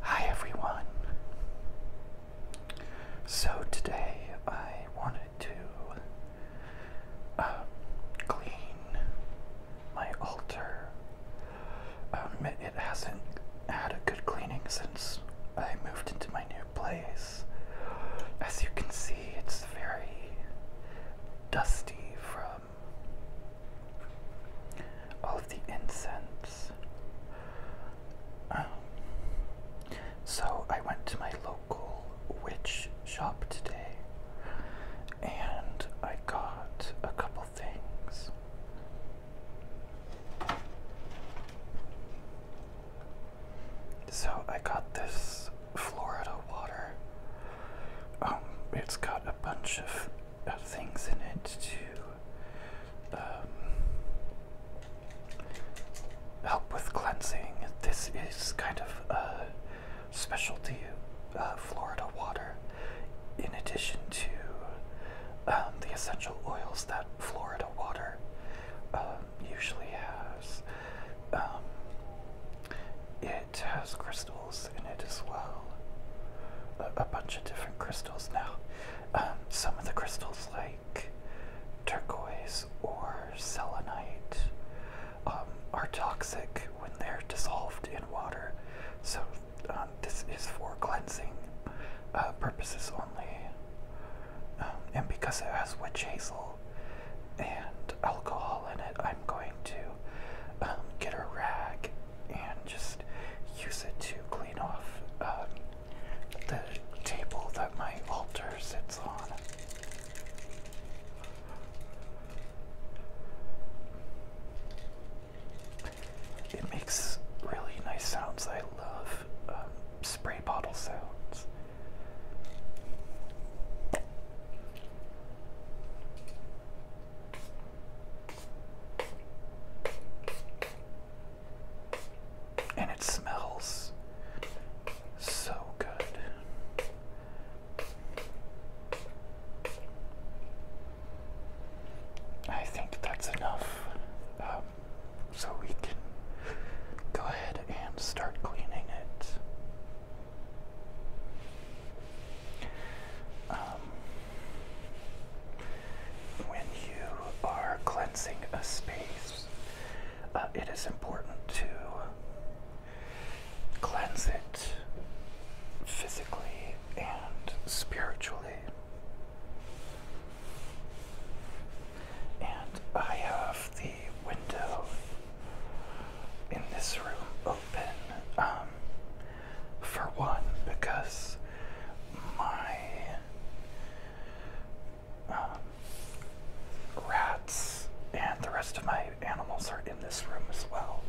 Hi everyone. So today I wanted to uh, clean my altar. Um, it hasn't had a good cleaning since I moved into my new place. As you can see, it's very dusty from of the incense. Um, so I went to my local witch shop today and I got a couple things. So I got this Florida water. Um, it's got a bunch of uh, things in it to um, help with cleansing. This is kind of a specialty uh, Florida water, in addition to um, the essential oils that Florida water um, usually has. it has crystal in it as well. A, bunch of different crystals now. Um, some of the crystals, like turquoise or selenite, um, are toxic when they're dissolved in water. So, um, this is for cleansing uh, purposes only. and because it has witch hazel and alcohol in it, I'm going to get a rag and just use it to clean off um, the table that my altar sits on. It makes really nice sounds. I love um, spray bottle sounds. And it smells so good. I think that's enough. Um, so we can go ahead and start cleaning it. Um, when you are cleansing a space, uh, it is important to cleanse it physically and spiritually. And I have the window in this room open um, for one, because my um, rats and the rest of my animals are in this room as well.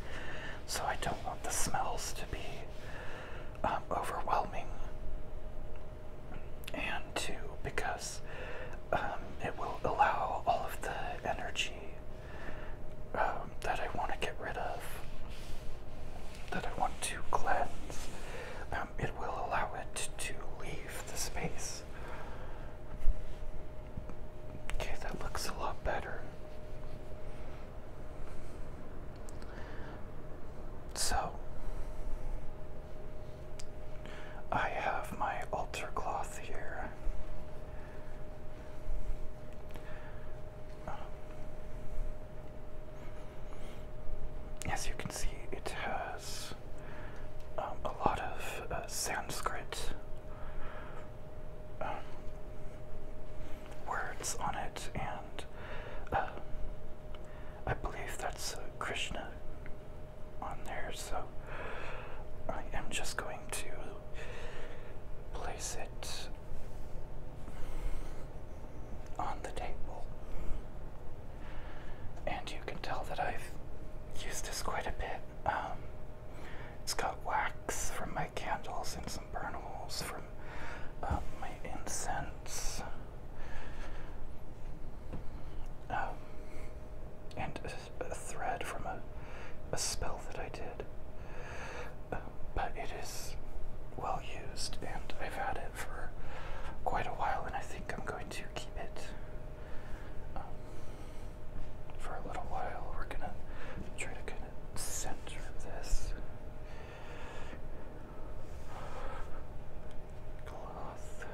So I don't want the smells to be um, overwhelming. And two, because um, it will allow all of the energy um, that I want to get rid of, that I want to cleanse, um, it will allow it to leave the space. Okay, that looks a lot better. So, I have my altar cloth here as you can see, it has um, a lot of uh, Sanskrit um, words on it, and uh, I believe that's uh, Krishna on there, so I am just going to place it on the table. And you can tell that I've used this quite a bit. Um, it's got wax from my candles and some burn holes from um, my incense. Um, and a, thread from a, a spell that I did. Um, but it is well used, and I've had it for quite a while, and I think I'm going to keep it um, for a little while. We're gonna try to kind of center this cloth.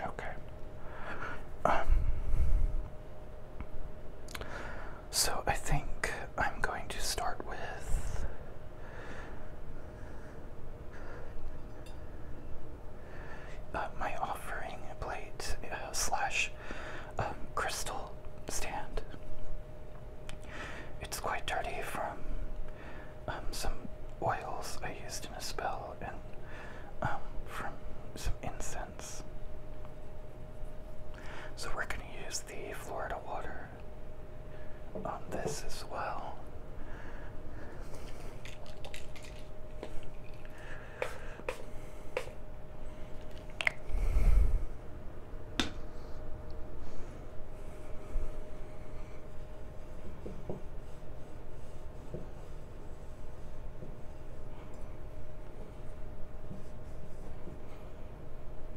Okay. Um, so I think I'm going to start with uh, my offering plate uh, slash um, crystal stand. It's quite dirty from um, some oils I used in a spell and um, from some incense. So we're going to use the Florida water on this as well.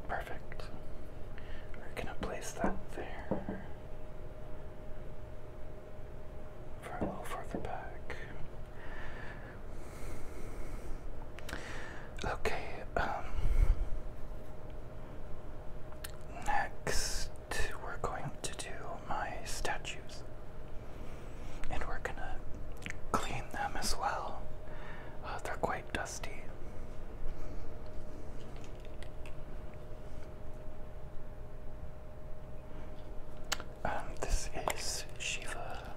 Perfect. We're going to place that there for a further back. Okay, um, next we're going to do my statues and we're gonna clean them as well. Uh, they're quite dusty. Um, this is Shiva.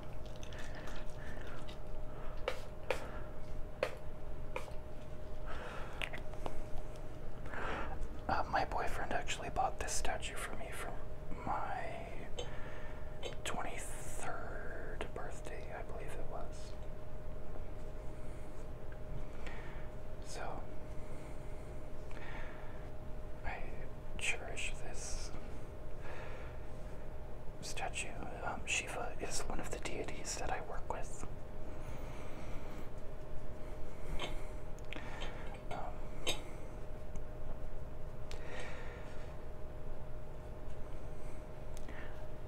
Uh, my boyfriend actually bought this statue for me from my 23rd birthday, I believe it was. So, I cherish this statue. Um, Shiva is one of the deities that I work with. Um,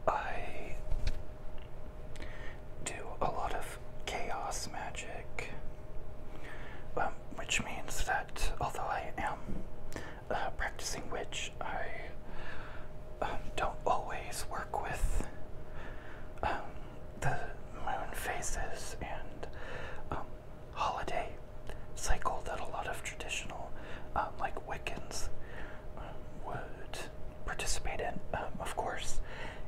I do a lot of chaos magic, um, which means that although I am uh, practicing witch, I um, don't always work with um, the moon phases and holiday cycle that a lot of traditional, um, like Wiccans, um, would participate in. Um, of course,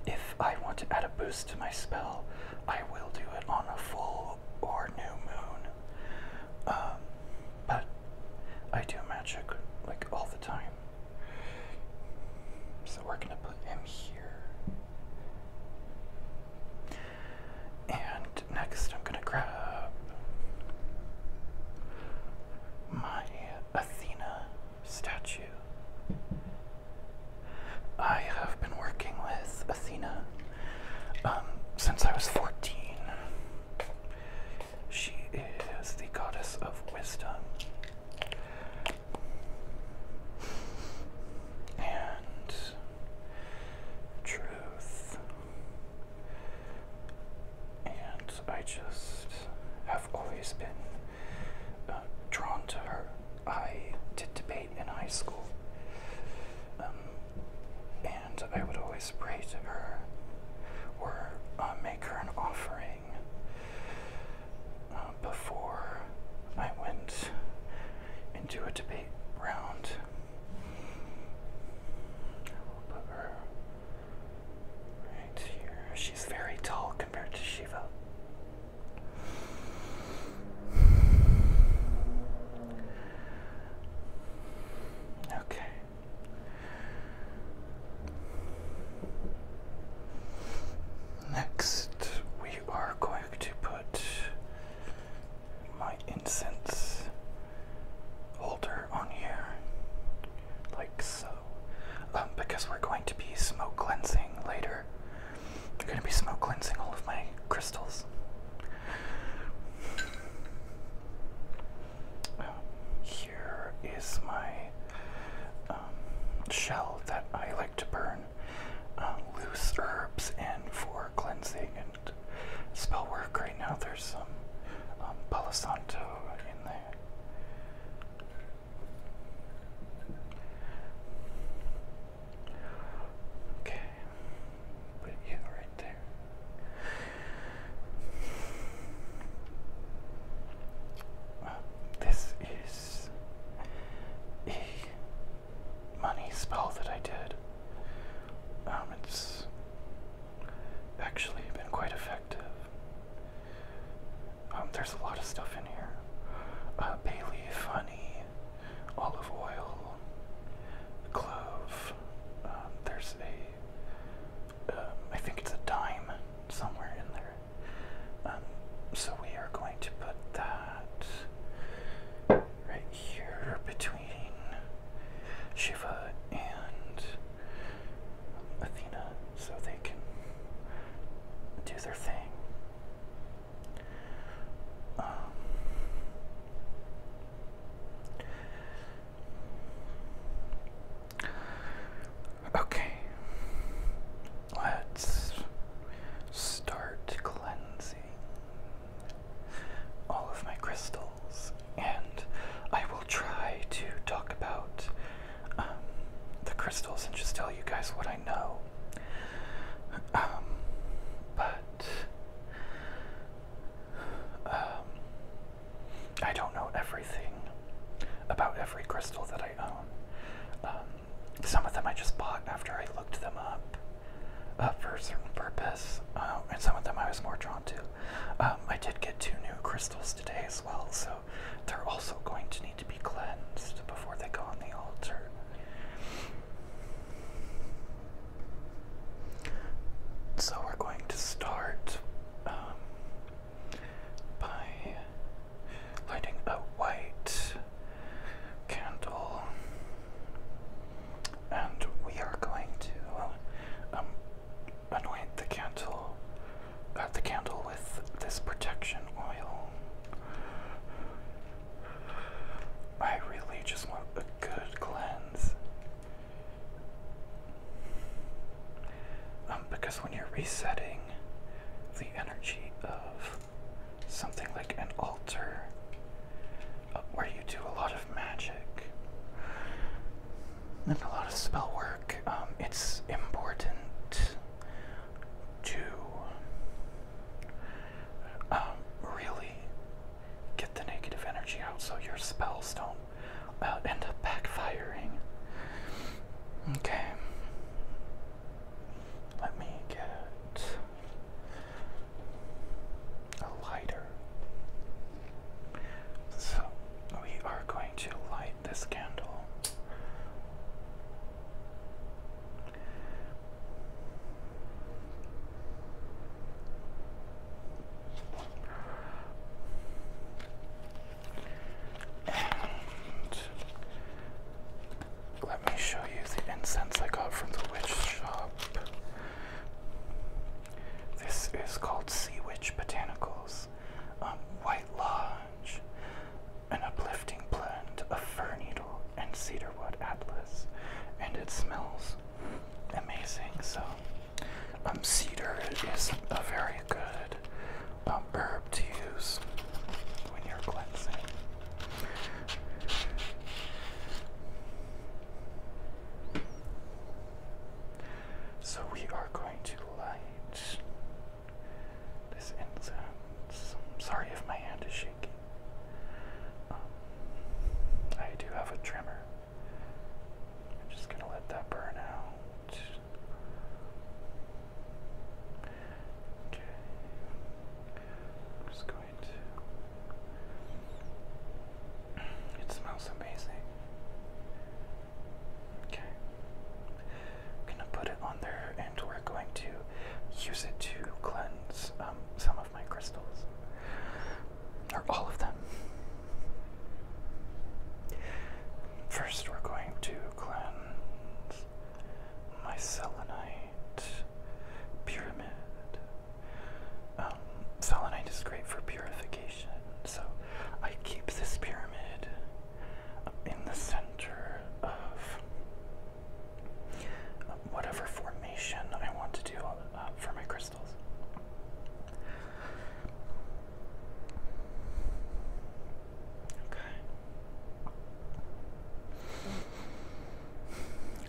if I want to add a boost to my spell, I will do it on a full or new moon. but I do magic like all the time. So we're gonna put him here. And next I'm gonna grab my Athena statue. I have been working with Athena um, since I was 14. She is the goddess of wisdom. And truth and I just have always been uh, drawn to her. I did debate in high school, um, and I would always pray to her or uh, make her an offering uh, before I went into a debate round. I will put her right here. She's very tall compared to Shiva. Okay. Next, we are going to put my incense holder on here, like so. Um, because we're going to be smoke cleansing later. We're going to be smoke cleansing all of my crystals. here is my um, shell that I like to burn uh, loose herbs and for cleansing spell work right now. There's some um, Palo in there. Okay, put you right there. Uh, this is a money spell that I did. Um, it's actually been quite effective. Um, there's a lot of stuff in here uh, bay leaf, honey, olive oil, clove. Um, there's a, um, I think it's a dime somewhere in there. so we are going to put that right here between Shiva and Athena so they can do their thing. Um, okay, let's start cleansing all of my crystals, and I will try to talk about um, the crystals and just tell you guys what I know. Um, but um, I don't know everything about every crystal that I own. some of them I just bought after I looked them up uh, for a certain purpose, uh, and some of them I was more drawn. Um, I did get two new crystals today as well, so they're also going to need to be cleansed before they go on the altar. So we're going to start um, by lighting a white candle and we are going to um, anoint the candle, uh, the candle with this protection oil. I really just want a good cleanse. Um, because when you're resetting the energy of something like an altar, where you do a lot of magic and a lot of spell work, um, it's important to um, really get the negative energy out so your spells don't uh, end up backfiring. Okay, let me get a lighter. So we are going to light this candle. And let me show you the incense I got from the witch shop. This is called Sea Witch Botanicals, um, White Lodge, an uplifting blend of fir needle and cedarwood atlas, and it smells amazing. So, um, cedar is a very good um, herb to use when you're cleansing. So we are going to light this incense. sorry if my hand is shaking. Um, I do have a tremor. I'm just going to let that burn out. Okay. just going to it smells amazing. Okay. I'm gonna put it on there and we're going to use it to cleanse um, some of my crystals. Or all of them. First, we're going to cleanse my selenite pyramid. Um, selenite is great for purification, so I keep this pyramid in the center of whatever formation I want to do uh, for my crystals. Okay.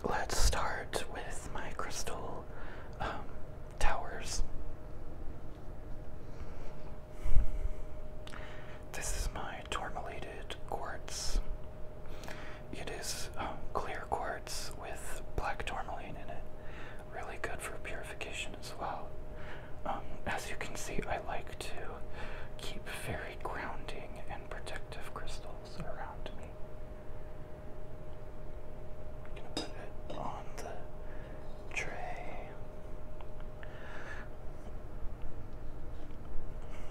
Let's start with my crystal um, towers. This is my tourmalated quartz. It is um, clear quartz with black tourmaline in it. Really good for purification as well. Um, as you can see, I like to keep very grounding and protective crystals around me gonna put it on the tray.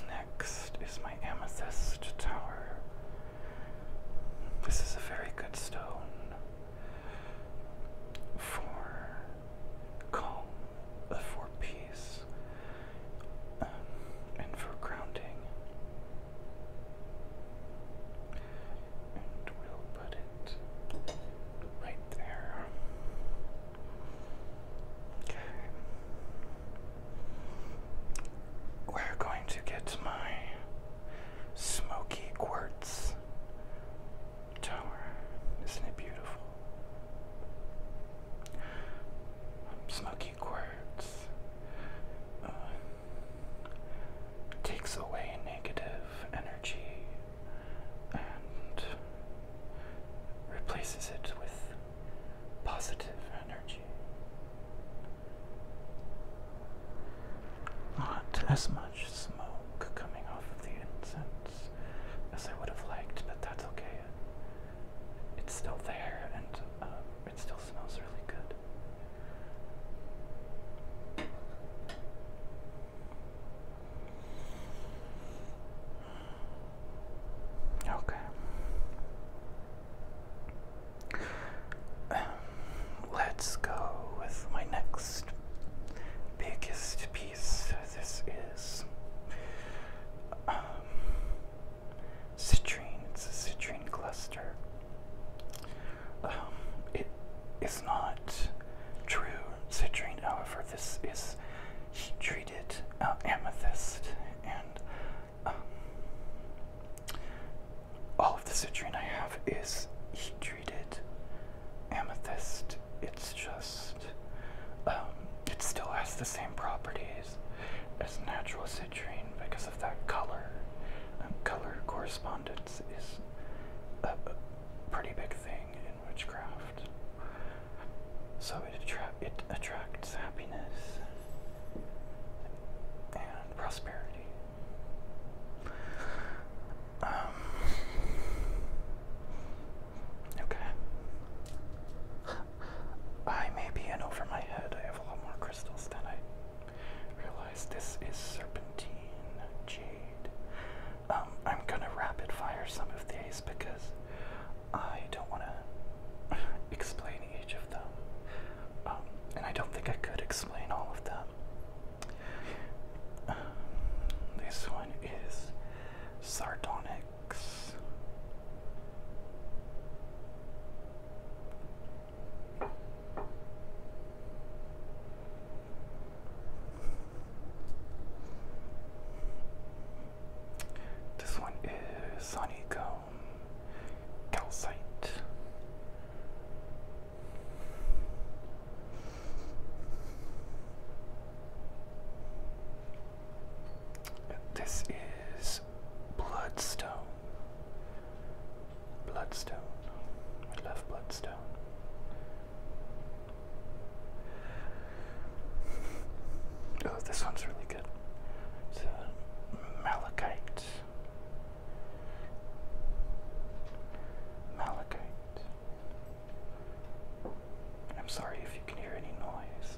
Next is my amethyst tower. This is a very good stone for calm, for peace, um, and for grounding. And we'll put it right there. Okay. We're going to get my smoky quartz tower. Isn't it beautiful? Smoky quartz. Uh, takes away negative energy and replaces it with positive energy. Not as much smoke coming off of the incense as I would have liked, but that's okay. It's still there and uh, it's still still smells really good. Okay. Um, let's go with my next biggest piece. This is um, citrine. It's a citrine cluster. Um, it is not true citrine. However, this is heat treated uh, amethyst, and um, all of the citrine I have is heat treated amethyst. It's just um, it still has the same properties as natural citrine because of that color. Um, color corresponded gifts is a, pretty big thing in witchcraft. So it, attracts happiness and prosperity. Um, okay. I may be in over my head. I have a lot more crystals than I Realize this is serpentine jade. Um, I'm gonna rapid fire some of these because I don't want to explain each of them, um, and I don't think I could explain all of them. Um, this one is sardonyx. This one is Sunny Gum Calcite. This is Bloodstone. Bloodstone. I love Bloodstone. Oh, this one's really good. It's a uh, malachite. Malachite. I'm sorry if you can hear any noise.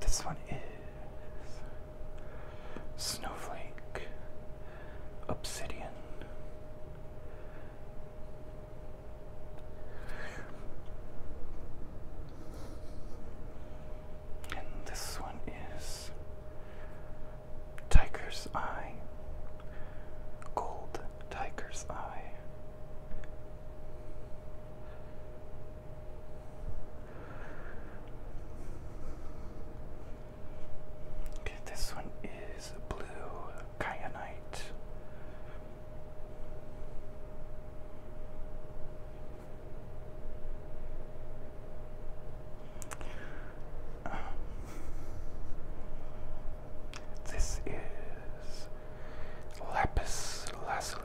This one is Snowflake, Obsidian. And this one is Tiger's Eye, Gold Tiger's Eye. Okay, this one is blue kyanite. this is lapis lazuli.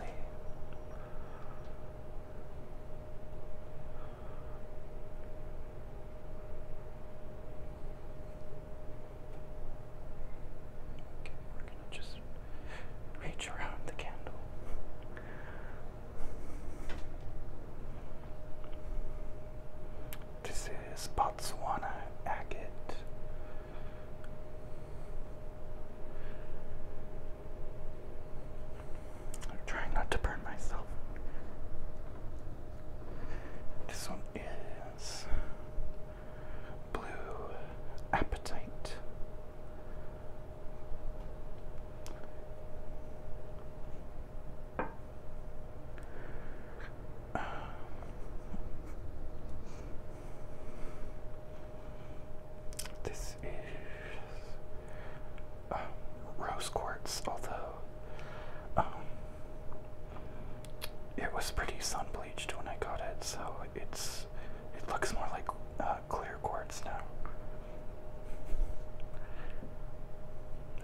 Okay, we're gonna just reach around the candle. This is Botswana agate trying not to burn myself. This one is Blue Appetite. this is uh, rose quartz, although um, it was pretty sun bleached when I got it, so it's it looks more like uh, clear quartz now.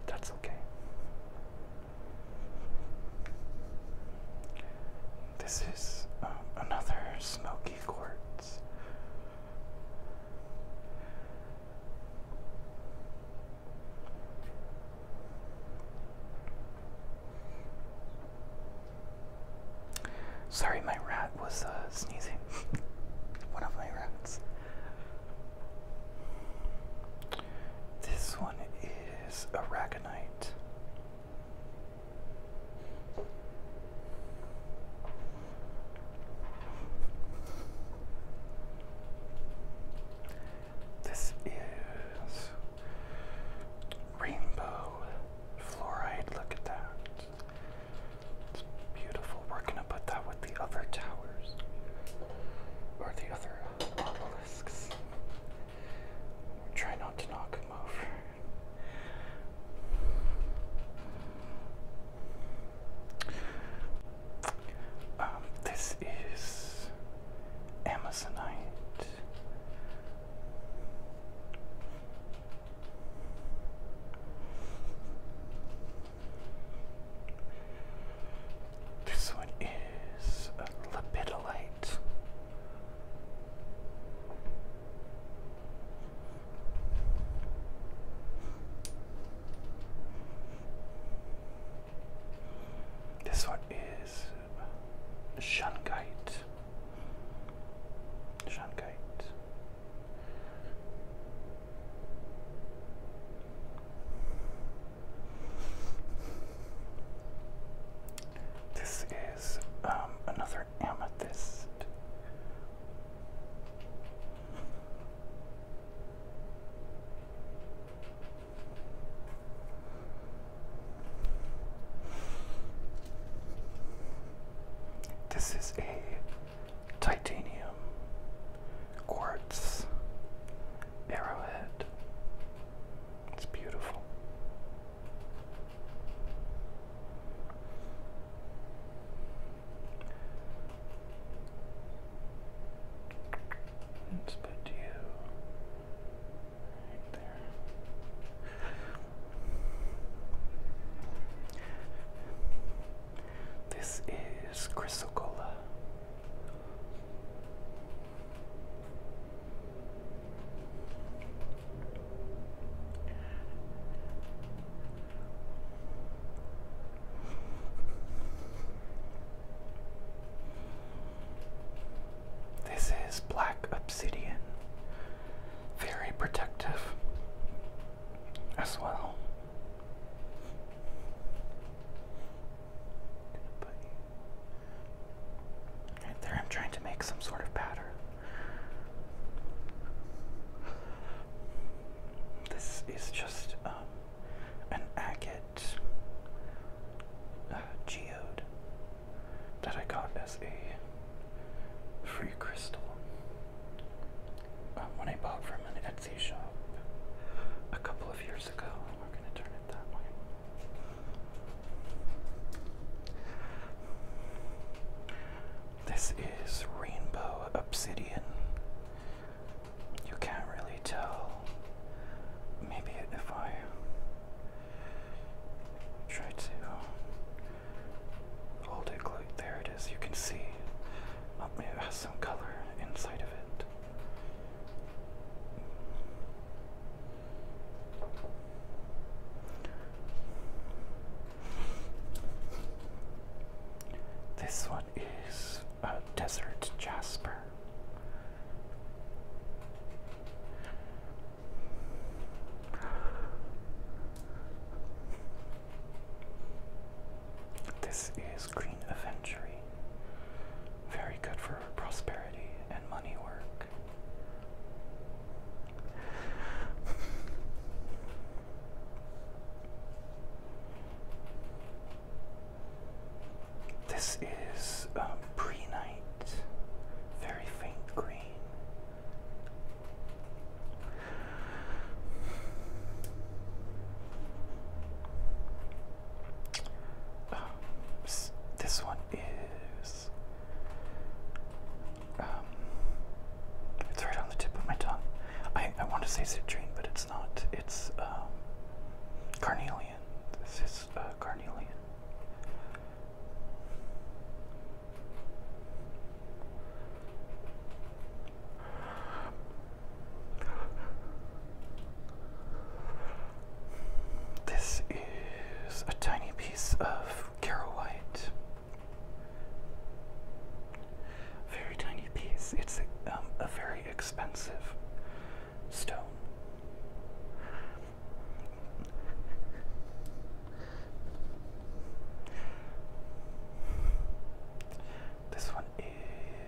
That's okay. This is um, another smoky quartz. Sorry, my rat was uh, sneezing. one of my rats. This one is Aragonite. This is rainbow fluoride. Look at that. It's beautiful. We're going to put that with the other towers or the other obelisks. Try not to knock them over. Um, this is Amazonite. This one is a lepidolite. This one is Shungite. Shungite. This is um, another amethyst. This is a titanium quartz arrowhead. It's beautiful. Let's put you right there. This is Chrysocolla. This is black obsidian, very protective as well. Right there, I'm trying to make some sort of pattern. This is just um, an agate uh, geode that I got as a free crystal um, when I bought from an Etsy shop a couple of years ago. This is rainbow obsidian. You can't really tell. Maybe if I try to hold it close, there it is. You can see oh, it has some color inside of it. This one is a desert jasper. This is Green Aventury. Very good for prosperity and money work. This is um, pre night, very faint green. Um, this one is um, it's right on the tip of my tongue. I, I want to say citrine, but it's not. It's um, carnelian. This is uh, carnelian. This is a tiny piece of Carol very tiny piece. It's um, a, very expensive stone. This one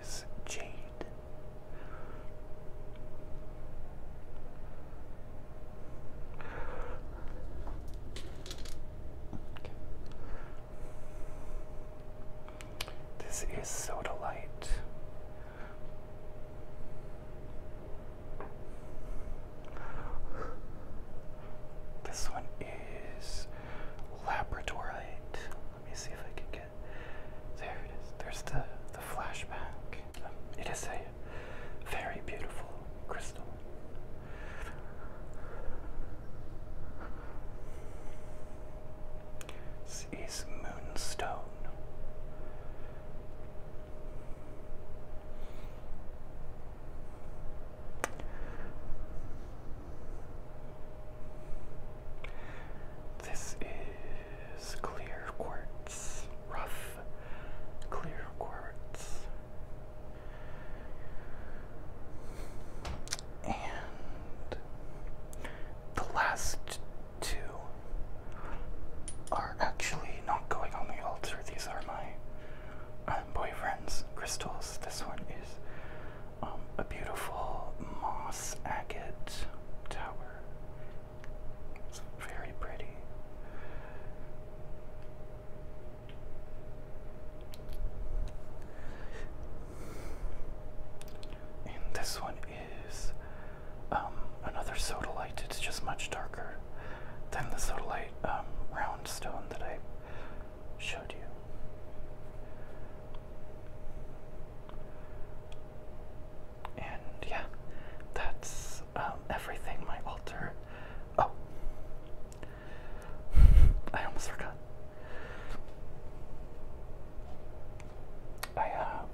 is jade. This is Soda Light. This one is Labradorite. Let me see if I can get there it is. There's the the flashback. it is a very beautiful crystal. This is Moonstone. This is clear quartz, rough clear quartz. And the last two are actually not going on the altar. These are my um, boyfriend's crystals. This one is um, a beautiful moss agate tower. It's very pretty. And this one is um, another sodalite. It's just much darker than the sodalite um, round stone that I showed you. And yeah, that's um, everything my altar. Oh, I almost forgot. I have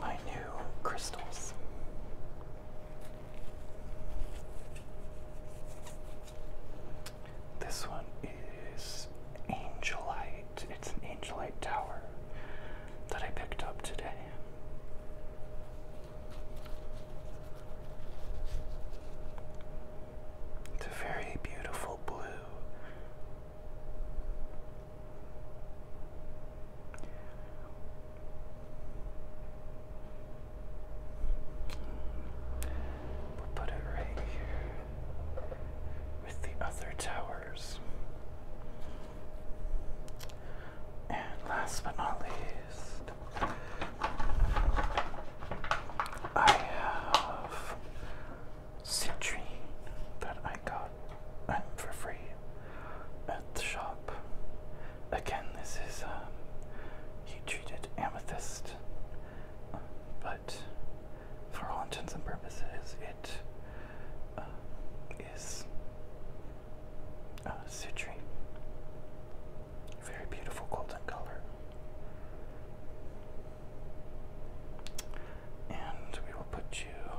my new crystals. This one is Angelite. It's an Angelite tower that I picked up today. It's a very beautiful blue. We'll put it right here with the other towers. And last but not least, I have citrine that I got um, for free at the shop. Again, this is um, heat treated amethyst, but for all intents and purposes, it um, is uh, citrine. Very beautiful golden color. And we will put you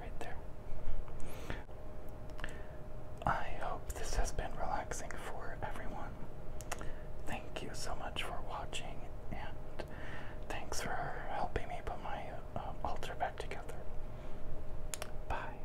right there. I hope this has been relaxing for everyone. Thank you so much for watching, and thanks for helping me put my uh, altar back together. Bye.